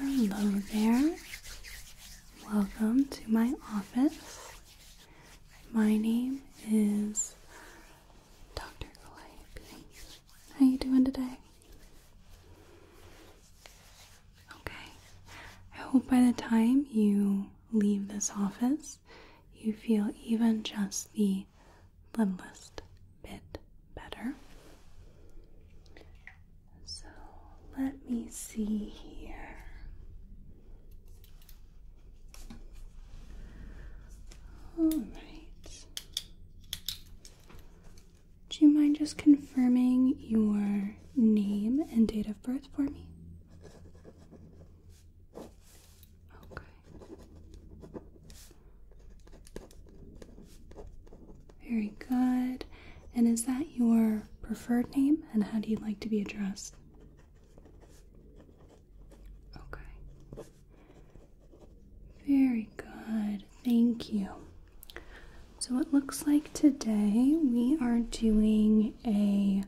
Hello there. Welcome to my office. My name is Dr. Calliope. How you doing today? Okay. I hope by the time you leave this office, you feel even just the littlest bit better. So let me see here. All right. Do you mind just confirming your name and date of birth for me? Okay. Very good. And is that your preferred name? And how do you like to be addressed? Okay. Very good, thank you. So it looks like today we are doing a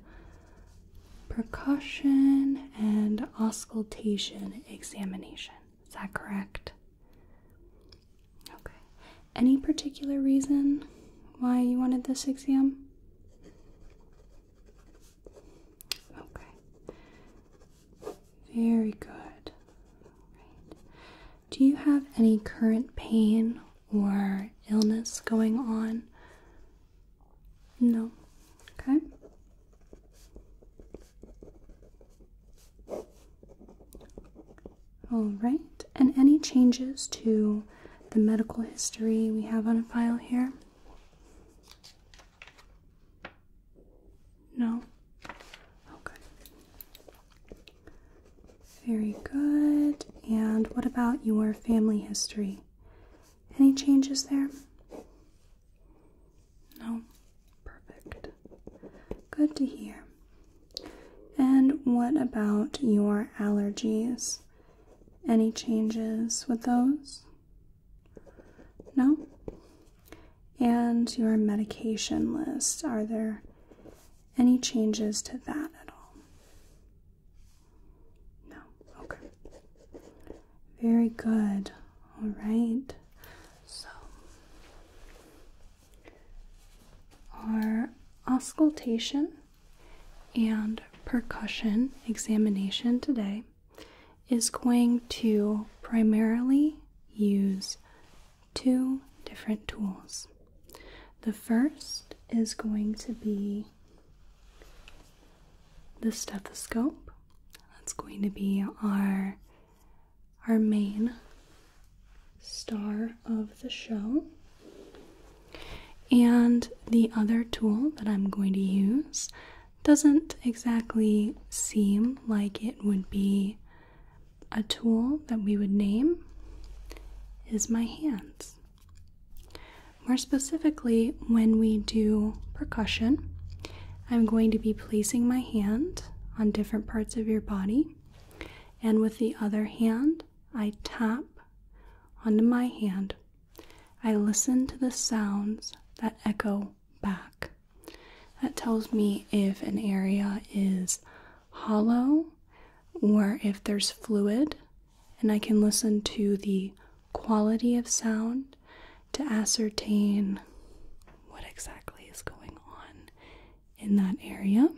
percussion and auscultation examination. Is that correct? Okay. Any particular reason why you wanted this exam? Okay. Very good. Do you have any current pain or illness going on? No. Okay. All right. And any changes to the medical history we have on file here? No? Okay. Very good. And what about your family history? Any changes there? No? Perfect. Good to hear. And what about your allergies? Any changes with those? No? And your medication list. Are there any changes to that at all? No. Okay. Very good. All right. So, our auscultation and percussion examination today is going to primarily use two different tools. The first is going to be the stethoscope. That's going to be our our main star of the show. And the other tool that I'm going to use doesn't exactly seem like it would be a tool that we would name is my hands. More specifically, when we do percussion, I'm going to be placing my hand on different parts of your body, and with the other hand, I tap onto my hand. I listen to the sounds that echo back. That tells me if an area is hollow or if there's fluid, and I can listen to the quality of sound to ascertain what exactly is going on in that area.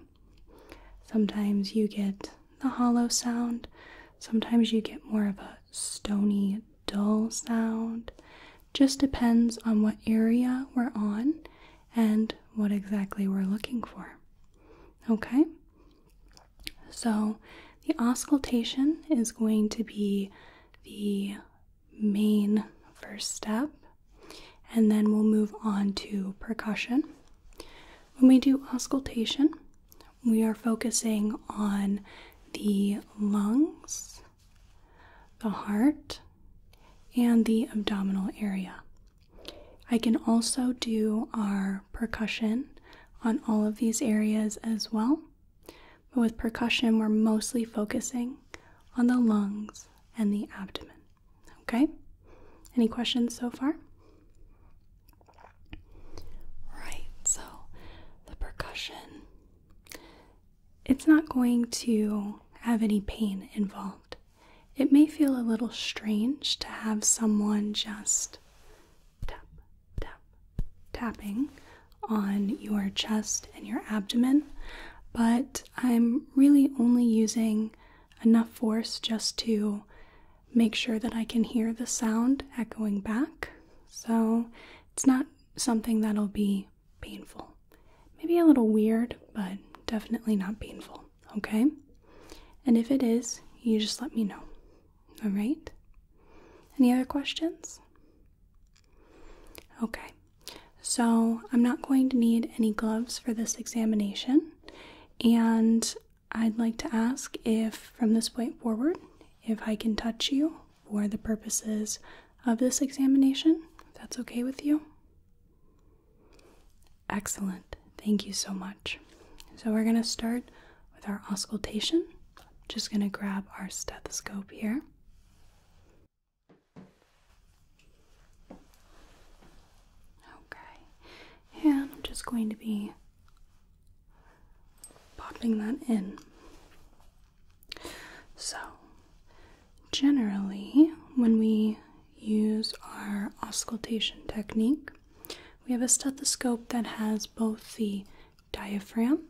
Sometimes you get the hollow sound, sometimes you get more of a stony dull sound. Just depends on what area we're on and what exactly we're looking for. Okay? So the auscultation is going to be the main first step, and then we'll move on to percussion. When we do auscultation, we are focusing on the lungs the heart, and the abdominal area. I can also do our percussion on all of these areas as well. But with percussion, we're mostly focusing on the lungs and the abdomen. Okay? Any questions so far? Right, so the percussion it's not going to have any pain involved. It may feel a little strange to have someone just tap, tapping on your chest and your abdomen, but I'm really only using enough force just to make sure that I can hear the sound echoing back. So it's not something that'll be painful. Maybe a little weird, but definitely not painful, okay? And if it is, you just let me know. All right? Any other questions? Okay. So, I'm not going to need any gloves for this examination, and I'd like to ask if from this point forward, if I can touch you for the purposes of this examination, if that's okay with you. Excellent. Thank you so much. So, we're going to start with our auscultation. just going to grab our stethoscope here. Okay. And I'm just going to be popping that in. So, generally, when we use our auscultation technique, we have a stethoscope that has both the diaphragm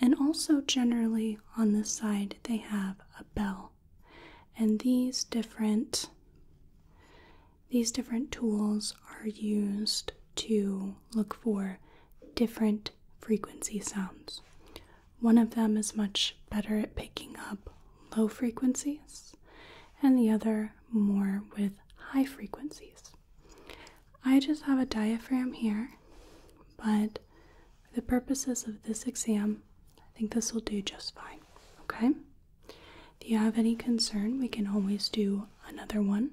and also, generally, on the side, they have a bell. And these different these different tools are used to look for different frequency sounds. One of them is much better at picking up low frequencies, and the other more with high frequencies. I just have a diaphragm here, but for the purposes of this exam, I think this will do just fine. Okay? If you have any concern, we can always do another one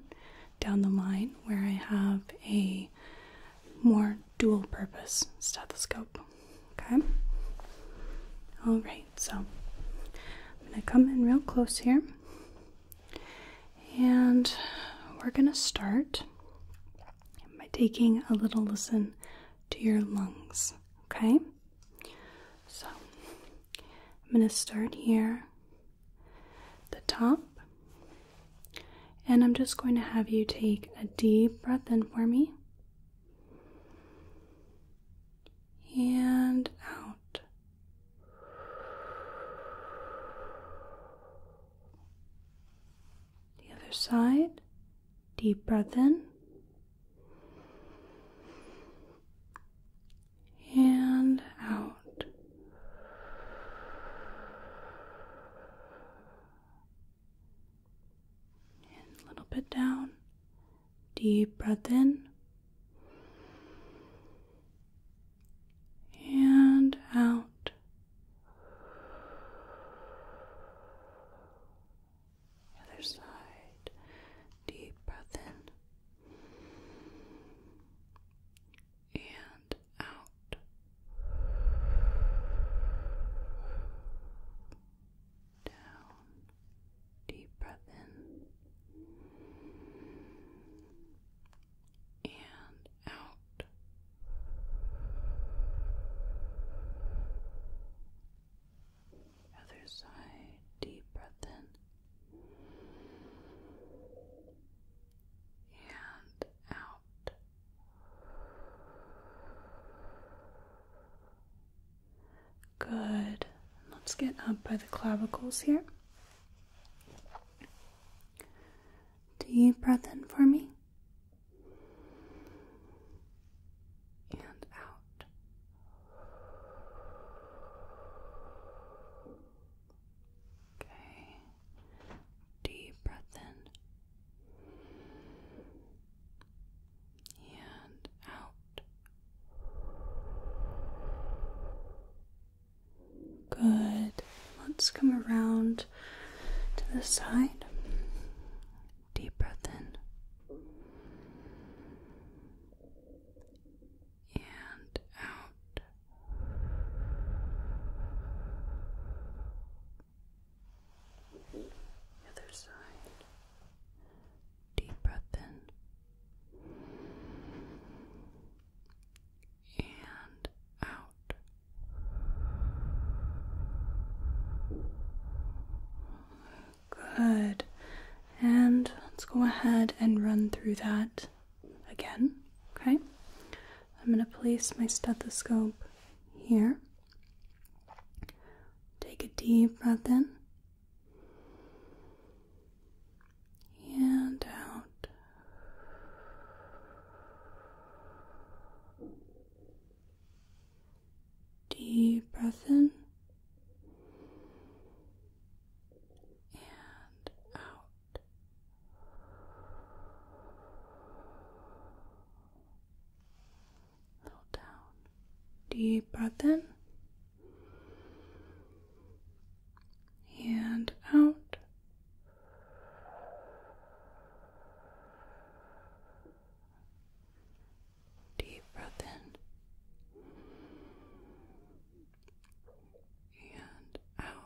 down the line where I have a more dual purpose stethoscope. Okay? Alright, so I'm going to come in real close here and we're going to start by taking a little listen to your lungs. Okay? So I'm going to start here, the top and I'm just going to have you take a deep breath in for me. And out. The other side. Deep breath in. And out. And a little bit down. Deep breath in. And out. other side. Deep breath in and out. Down. Deep breath in and out. Other side, deep breath in and out. Good. Let's get up by the clavicles here. Deep breath in for me. And out. Okay. Deep breath in and out. Good. Let's come around to the side. Deep breath in. And out other side. Deep breath in. And out. Good. And let's go ahead and run through that again. Okay? I'm going to place my stethoscope here. Take a deep breath in and out. Deep breath in and out down. Deep breath in and out. Deep breath in and out.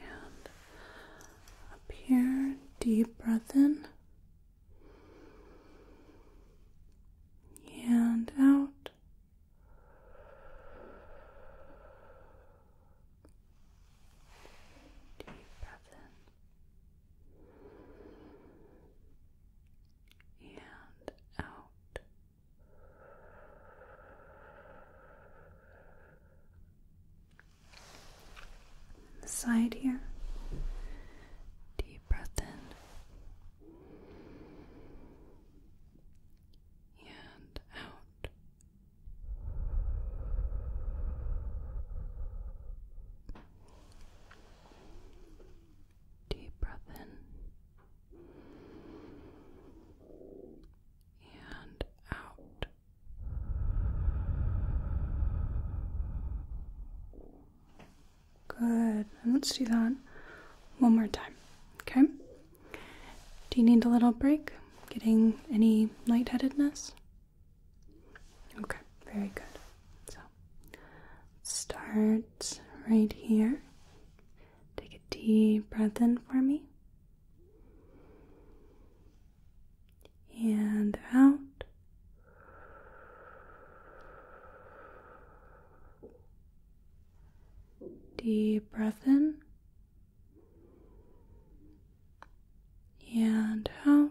And up here, deep breath in and out. Deep breath in and out. The side here. Deep breath in and out. Deep breath in and out. Good. And let's do that one more time. Okay? Do you need a little break? Getting any lightheadedness? Okay, very good. So, start right here. Take a deep breath in for me. And out. Deep breath in. And out.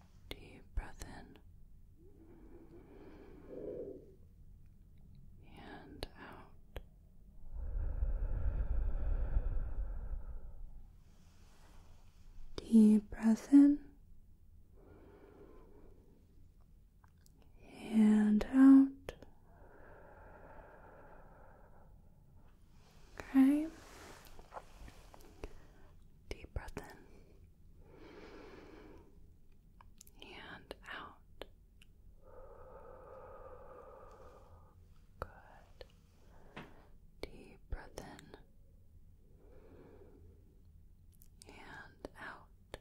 Deep breath in and out. Deep breath in and out. Okay. Deep breath in and out. Good. Deep breath in and out.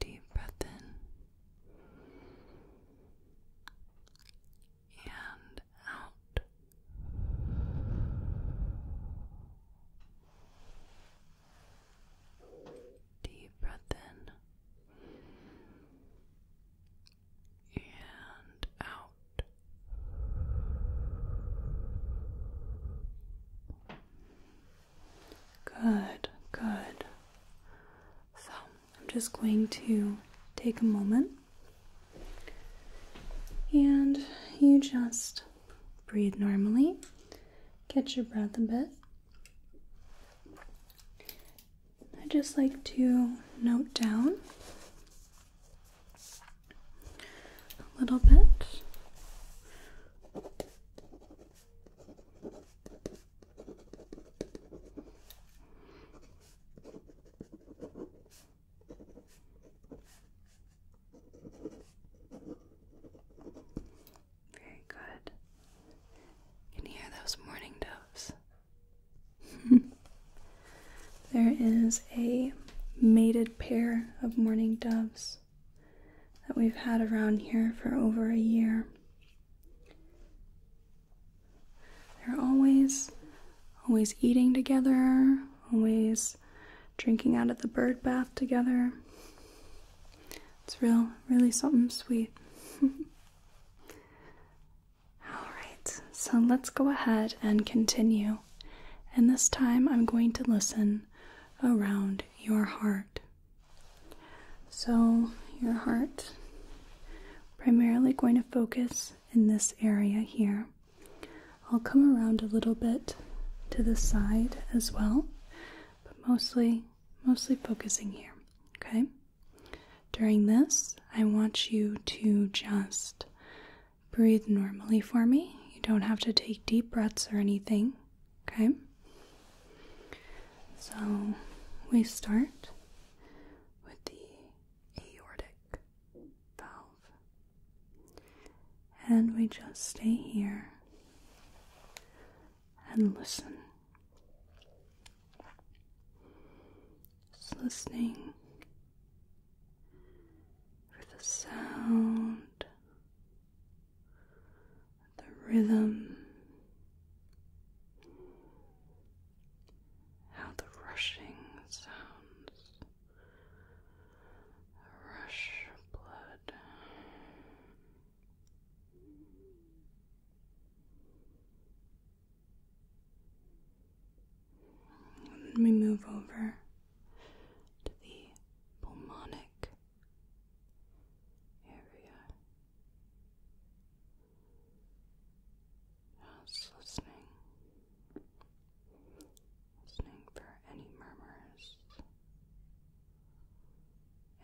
Deep breath in and out. Deep breath in and out. Good, good. So I'm just going to take a moment and you just breathe normally, catch your breath a bit. I just like to note down a little bit very good. Can You hear those morning doves. there is a mated pair of mourning doves that we've had around here for over a year. They're always, always eating together, always drinking out of the bird bath together. It's real, really something sweet. Alright, so let's go ahead and continue. And this time I'm going to listen around your heart. So, your heart primarily going to focus in this area here. I'll come around a little bit to the side as well, but mostly mostly focusing here, okay? During this, I want you to just breathe normally for me. You don't have to take deep breaths or anything, okay? So, we start with the aortic valve. And we just stay here and listen. Just listening for the sound, the rhythm, how the rushing sounds rush blood. Let me move over to the pulmonic area. Just listening, listening for any murmurs,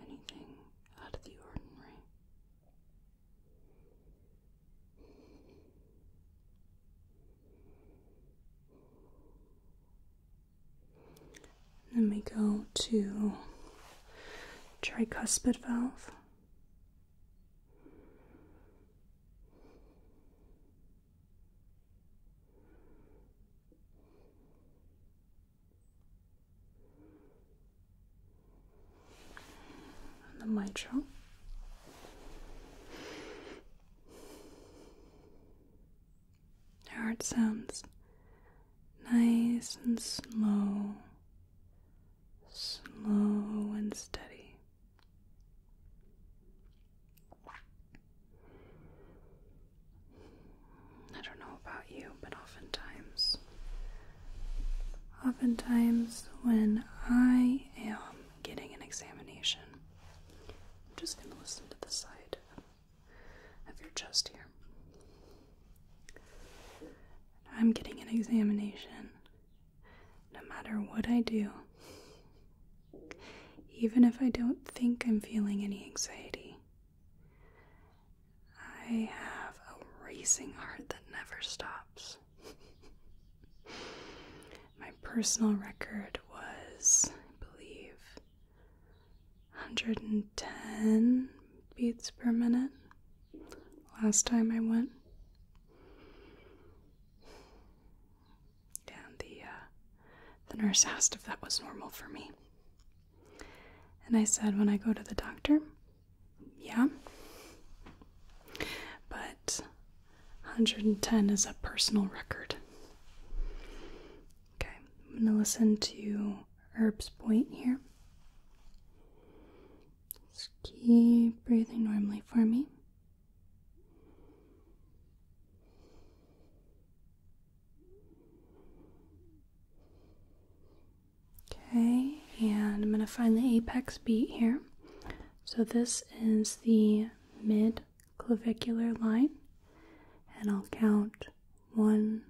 anything out of the ordinary. And then we go to tricuspid valve the mitral. Heart sounds nice and slow slow and steady. I don't know about you, but oftentimes, oftentimes when I am getting an examination, I'm just going to listen to the side of your chest here. I'm getting an examination no matter what I do. Even if I don't think I'm feeling any anxiety, I have a racing heart that never stops. My personal record was, I believe, 110 beats per minute last time I went. And the uh, the nurse asked if that was normal for me. And I said, when I go to the doctor, yeah. But 110 is a personal record. Okay, I'm gonna listen to Herb's point here. Just keep breathing normally for me. Okay, and I'm going to find the apex beat here. So this is the mid clavicular line, and I'll count one,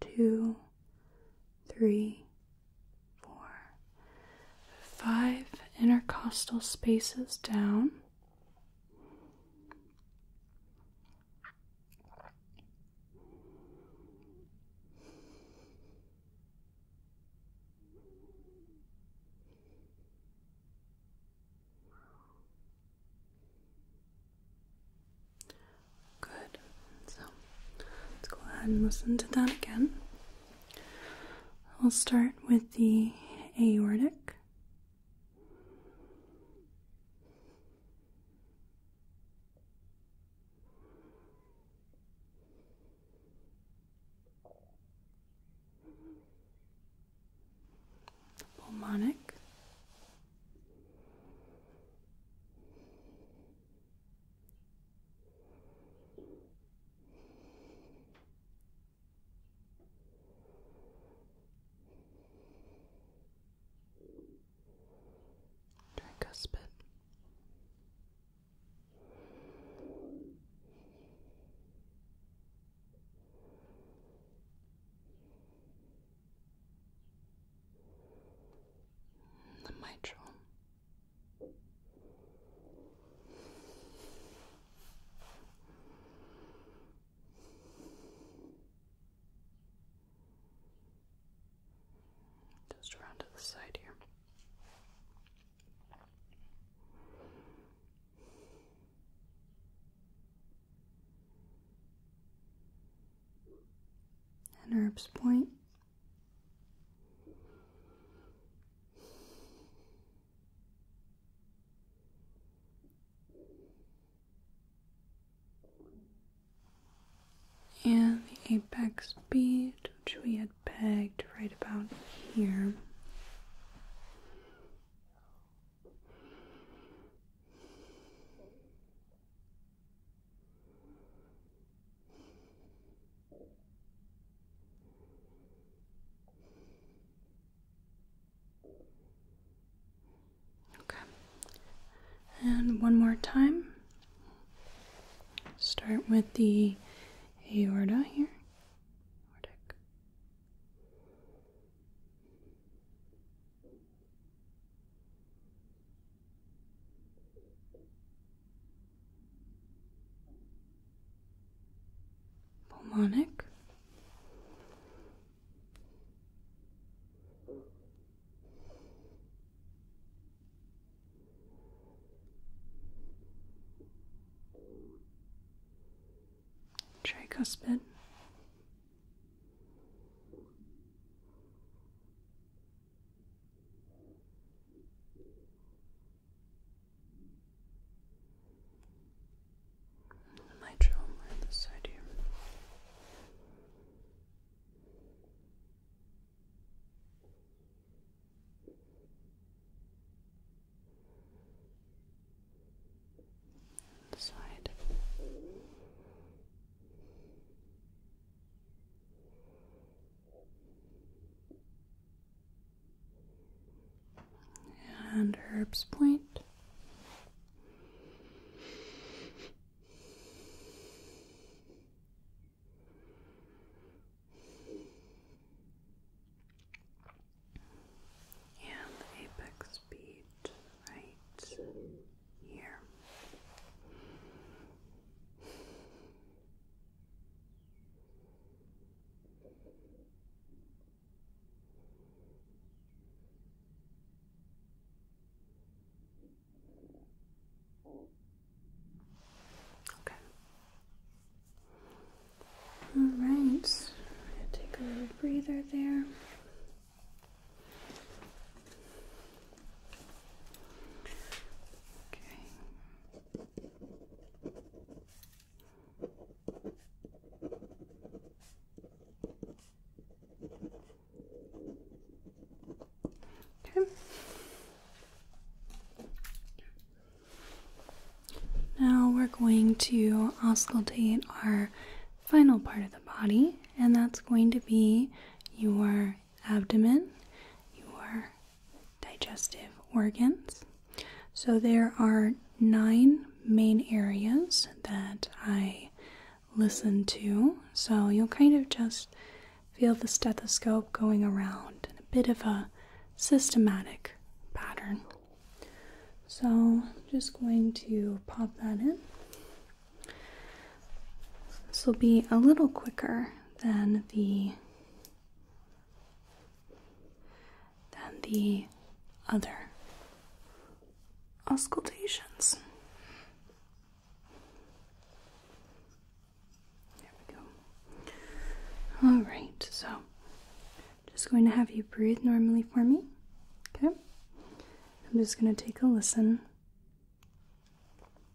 two, three, four, five intercostal spaces down. Good. So Let's go ahead and listen to that again. we will start with the aortic. Pulmonic. Don't The mitral. Just around to the side here. And Herb's point and the apex bead, which we had pegged right about here. Okay. And one more time. Start with the aorta here. Pulmonic. Tricuspid. The mitral on this side here. The side and Herb's Point. And apex bead right here. Okay. All right. Take a little breather there. Okay. Okay. Now we're going to auscultate our final part of the body, and that's going to be your abdomen, your digestive organs. So there are nine main areas that I listen to. So you'll kind of just feel the stethoscope going around in a bit of a systematic pattern. So I'm just going to pop that in. This will be a little quicker than the than the other auscultations. There we go. All right, so just going to have you breathe normally for me. Okay. I'm just going to take a listen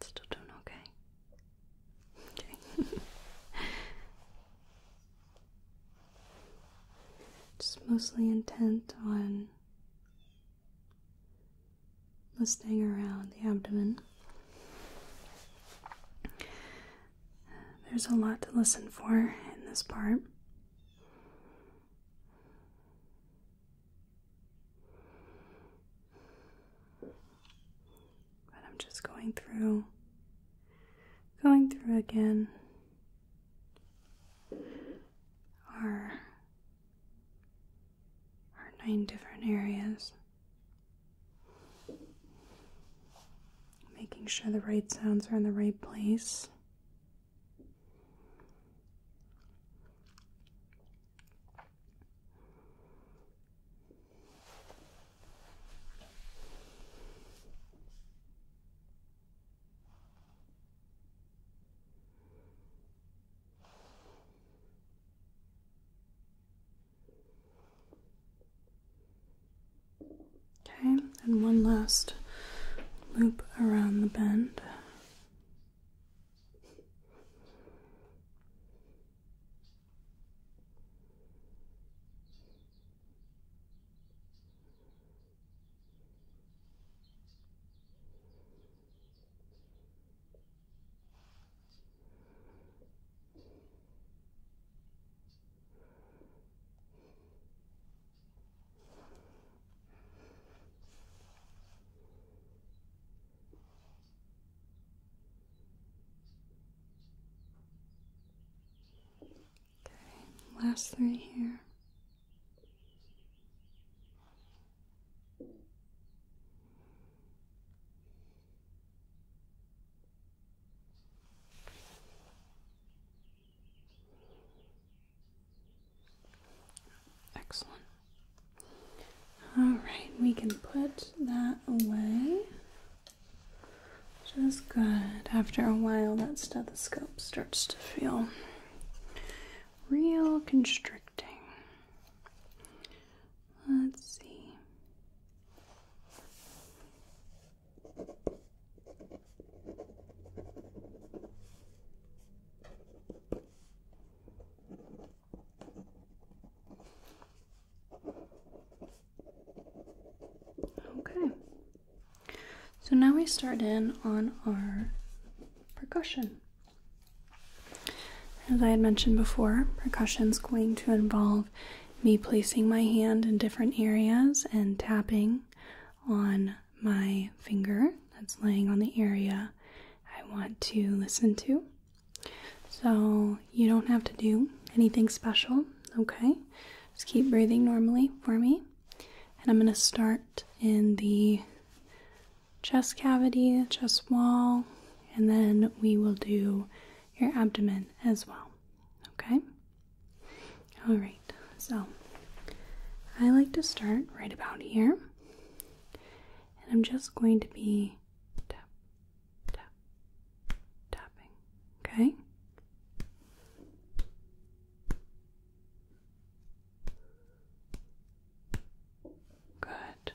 Still doing okay. Okay. Just mostly intent on listening around the abdomen. There's a lot to listen for in this part. But I'm just going through, going through again our, our nine different areas. Making sure the right sounds are in the right place. Okay, and one last loop around the bend. Okay, last three here. Excellent. All right, we can put that away. Just good. After a while, that stethoscope starts to feel real constricting. Let's see. Okay. So now we start in on our percussion. As I had mentioned before, percussion is going to involve me placing my hand in different areas and tapping on my finger that's laying on the area I want to listen to. So you don't have to do anything special, okay? Just keep breathing normally for me. And I'm going to start in the chest cavity, chest wall, and then we will do your abdomen as well. Okay? Alright, so I like to start right about here. And I'm just going to be tap, tap, tapping. Okay? Good.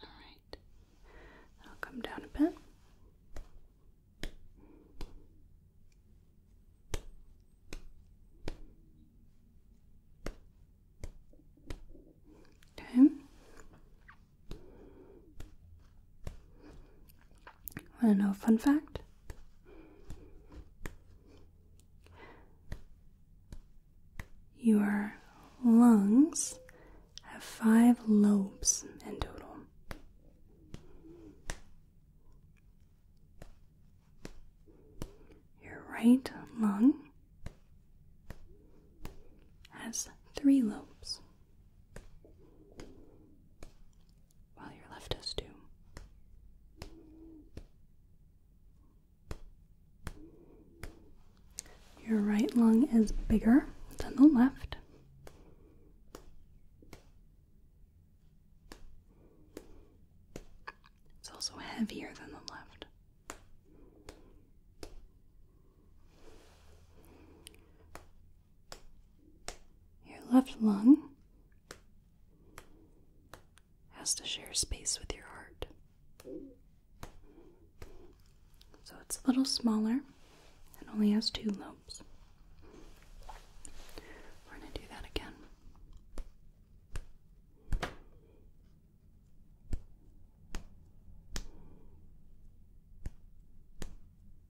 All right, I'll come down a bit. Okay. Want to know a fun fact? Your lungs have five lobes in total. Your right lung has three lobes. Well, your left does too. Your right lung is bigger than the left. It's also heavier than the left. Your left lung has to share space with your heart. So it's a little smaller and only has two lobes. We're going to do that again.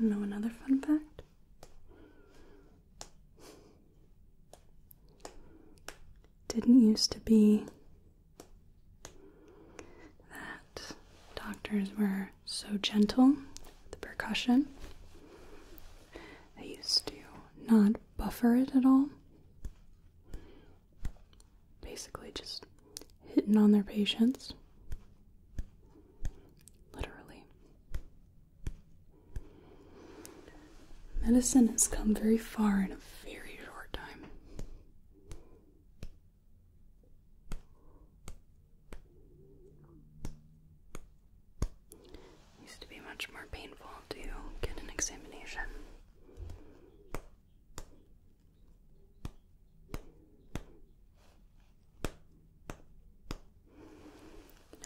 know another fun fact. Didn't used to be that doctors were so gentle with the percussion they used to not buffer it at all. Basically, just hitting on their patients. Literally. Medicine has come very far in a very short time. Used to be much more painful to get an examination.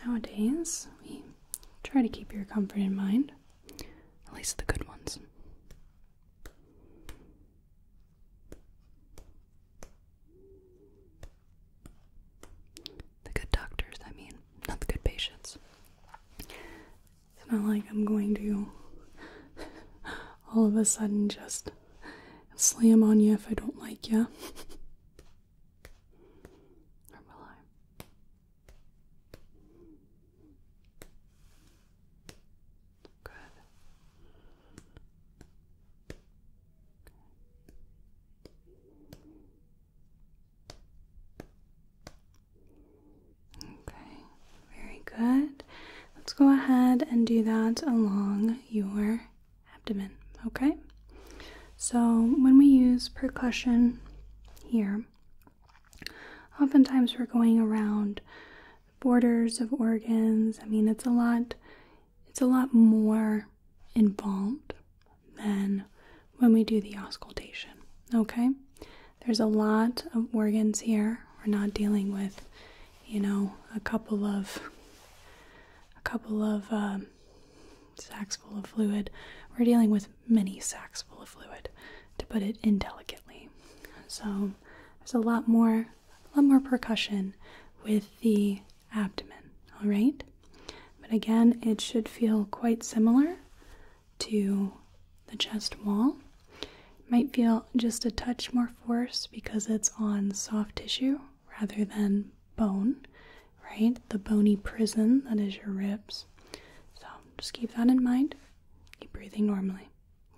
Nowadays, we try to keep your comfort in mind, at least the good ones. The good doctors, I mean, not the good patients. I'm not like I'm going to all of a sudden just slam on you if I don't like you. or will I? Good. Okay, very good. Let's go ahead and do that along your abdomen, okay? So, when we use percussion here, oftentimes we're going around borders of organs. I mean, it's a lot it's a lot more involved than when we do the auscultation. Okay? There's a lot of organs here. We're not dealing with, you know, a couple of a couple of um, sacks full of fluid. We're dealing with many sacks full of fluid, to put it indelicately. So there's a lot more, a lot more percussion with the abdomen, all right? But again, it should feel quite similar to the chest wall. might feel just a touch more force because it's on soft tissue rather than bone, right? The bony prison that is your ribs. So just keep that in mind. Keep breathing normally,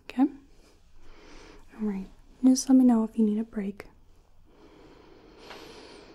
okay? All right, just let me know if you need a break.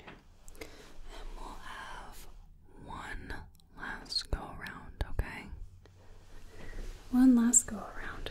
And we'll have one last go around, okay? One last go around.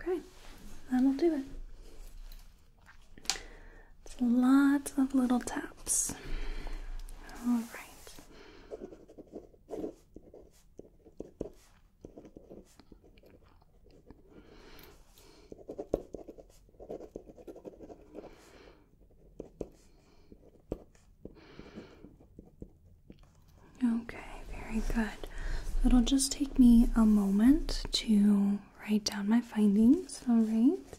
Okay, that'll do it lots of little taps. All right. Okay, very good. It'll just take me a moment to write down my findings, all right?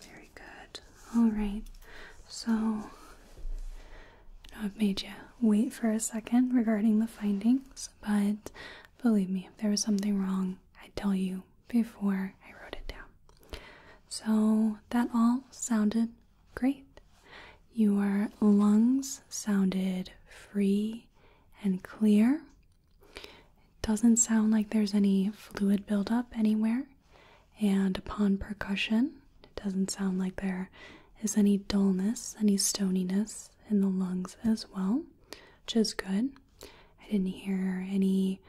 Very good. All right. So I've made you wait for a second regarding the findings, but believe me, if there was something wrong, I'd tell you before I wrote it down. So that all sounded great. Your lungs sounded free and clear. It doesn't sound like there's any fluid buildup anywhere. And upon percussion, it doesn't sound like there is any dullness, any stoniness in the lungs as well, which is good. I didn't hear any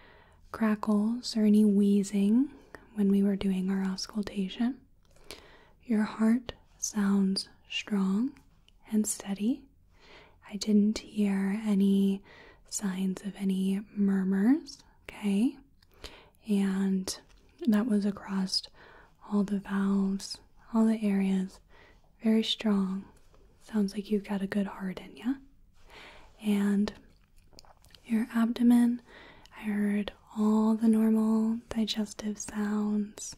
crackles or any wheezing when we were doing our auscultation. Your heart sounds strong and steady. I didn't hear any signs of any murmurs, okay? And that was across all the valves, all the areas. Very strong. Sounds like you have got a good heart in you, And your abdomen. I heard all the normal digestive sounds.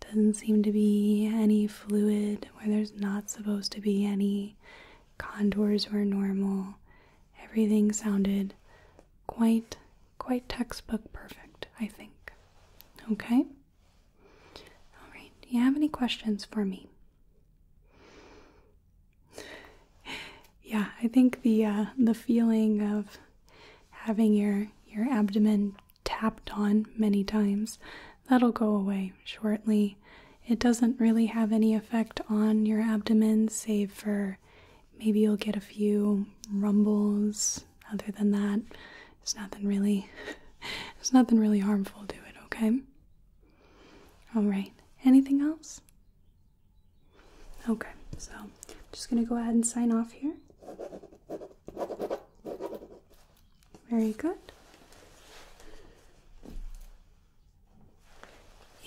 Doesn't seem to be any fluid where there's not supposed to be any. Contours were normal. Everything sounded quite, quite textbook perfect, I think. Okay? Alright, do you have any questions for me? yeah, I think the uh, the feeling of having your your abdomen tapped on many times that'll go away shortly. It doesn't really have any effect on your abdomen, save for maybe you'll get a few rumbles. Other than that, it's nothing really. It's nothing really harmful to it. Okay. All right. Anything else? Okay. So, I'm just going to go ahead and sign off here. Very good.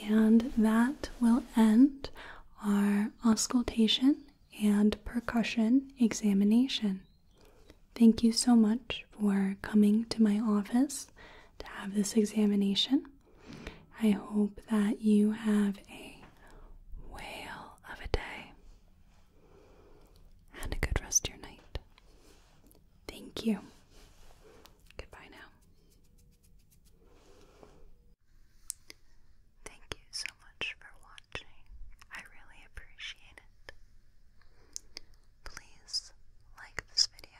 And that will end our auscultation and percussion examination. Thank you so much for coming to my office to have this examination. I hope that you have a whale of a day and a good rest of your night. Thank you. Goodbye now. Thank you so much for watching. I really appreciate it. Please like this video,